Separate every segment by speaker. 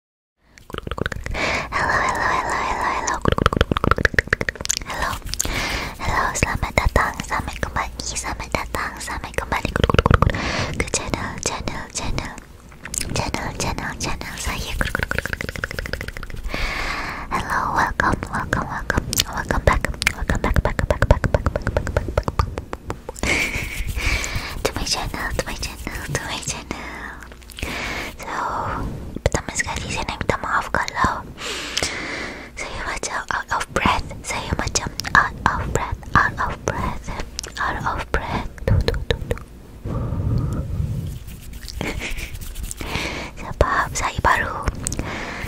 Speaker 1: Hello, hello, hello, hello, hello. Hello. Hello, selamat datang. Selamat kembali. Selamat datang. Selamat kembali ke channel, channel, channel. Channel, channel, channel saya. Hello, welcome, welcome, welcome. Welcome back. Welcome back, back, back, back, back, back, back, back, back. To my channel, to my channel, to my channel. So, потому с горителем там авкало. So you're much out of breath. So you're much out of breath. Out of breath. Out of breath. Do, do, do, do. Sebab saya baru,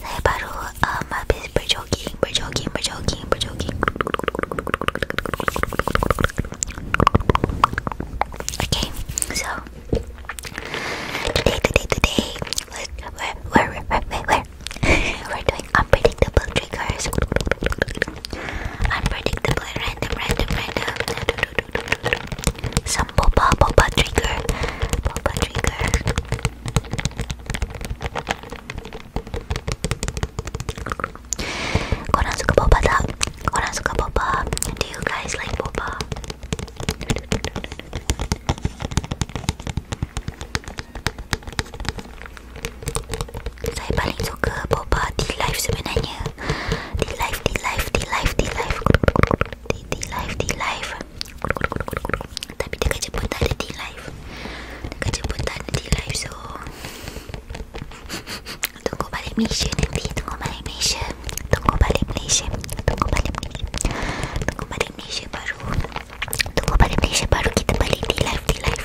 Speaker 1: saya baru um, uh, habis berjoging, berjoging, berjoging, berjoging. Okay, so today, today, today, where, where, where, where, where, where? we're doing unpredictable triggers. Unpredictable, random, random, random. Some boba, boba trigger, boba trigger. Koran's a boba da. Koran's boba. Do you guys like boba? Saya paling suka boba di live sebenarnya. Di live, di live, di live, di live. Di, live, di live. Tapi dekat Jepun tak ada di live. Dekat Jepun tak ada di live so tunggu balik Malaysia nanti tunggu balik Malaysia tunggu balik Malaysia tunggu balik Malaysia tunggu balik Malaysia baru tunggu balik Malaysia baru kita balik di live di live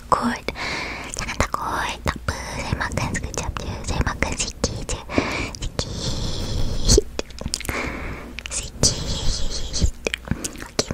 Speaker 1: takut Jangan takut Tak apa Saya makan sekejap je Saya makan sikit je Sikit Sikit Okay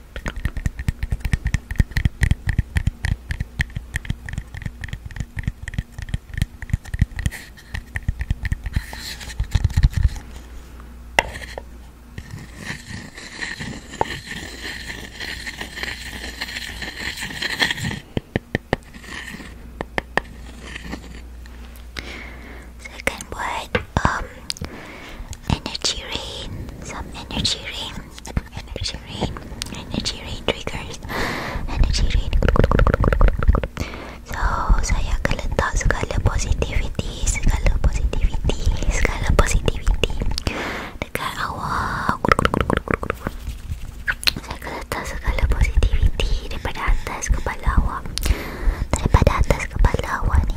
Speaker 1: Second word, um, energy rain, some energy rain, energy rain, energy rain triggers, energy rain. So, saya akan letak segala positivity, segala positivity, segala positivity dekat awal. Saya akan letak segala positivity daripada atas kepala awak. Daripada atas kepala awak ni.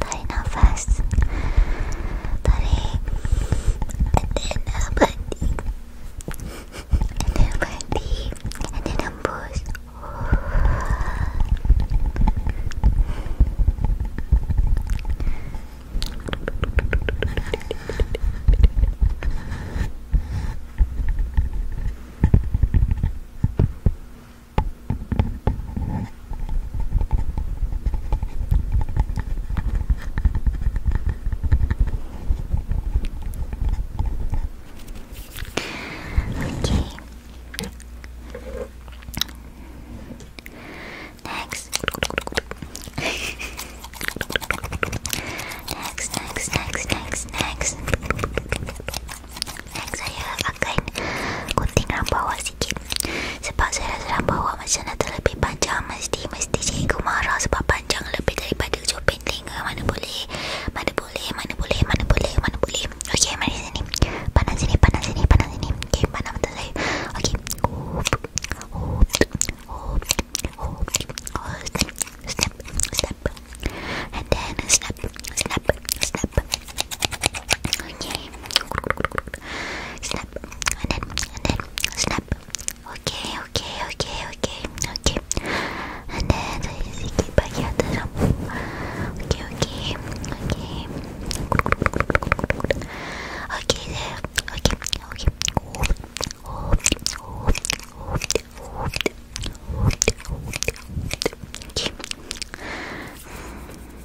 Speaker 1: tarik nafas tarik dan nampak deep dan nampak deep dan nembus Okay. Next. next, next, next, next, next. Next saya akan gunting rambut sikit sebab saya rasa bahawa macam nak terlebih panjang mesti mesti cikgu marah sebab panjang lebih daripada ujung pendek ke mana boleh mana boleh mana boleh mana boleh mana boleh ok mari sini panas sini panas sini panas sini ok panas betul saya ok hop hop hop hop snap snap snap and then snap snap snap ok snap snap, and then, and then, snap. Okay, okay, okay, okay, okay. And then, you keep back here at the top. Okay, okay, okay. Okay, there. Okay, okay. Okay.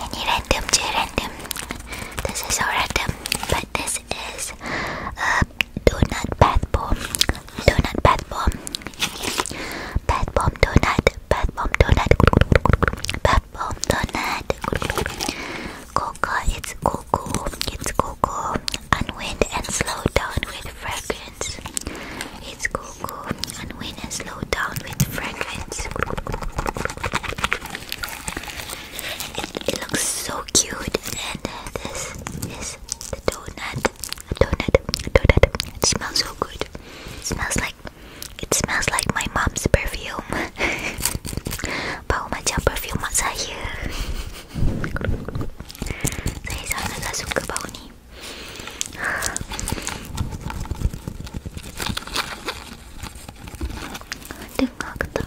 Speaker 1: Okay, Next, any random, too random. This is so random, but this is a uh, donut bath bomb, donut bath bomb, bath bomb donut, bath bomb donut, bath bomb donut. Coco, it's cocoa, it's cocoa. Unwind and slow down with fragrance. It's cocoa. Unwind and slow down with fragrance. It, it looks so cute, and uh, this is the donut donut, donut. It smells so good. It smells like it smells like my mom's perfume. Bau oh macam perfume mak saya. sangat suka bau ni. Dengar ke tak?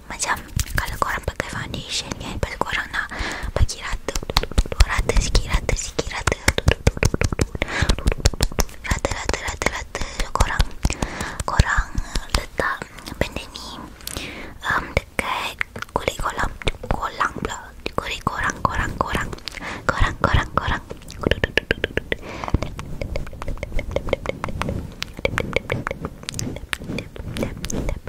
Speaker 1: tahu macam kalau korang pakai foundation kan pasal korang nak bagi rata rata sikit rata rata rata rata korang korang letak benda dekat kulit kolam kolam pula kulit korang korang korang korang korang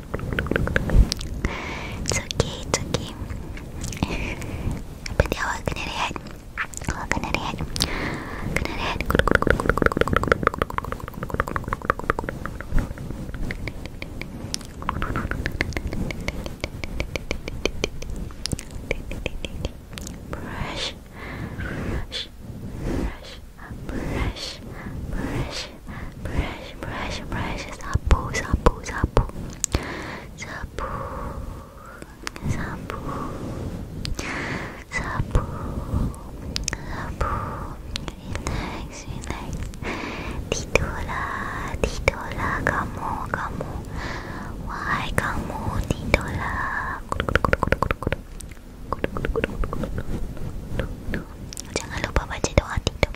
Speaker 1: It's okay, it's okay. Apa dia awak kena rehat? Awak kena rehat. Kena Brush, brush, brush, brush, brush, brush, brush, brush, sapu, sapu, sapu, sapu, sapu, sapu, sapu, relax, relax, titola, titola, kamu, kamu, why kamu titola? Jangan lupa baca doa tidur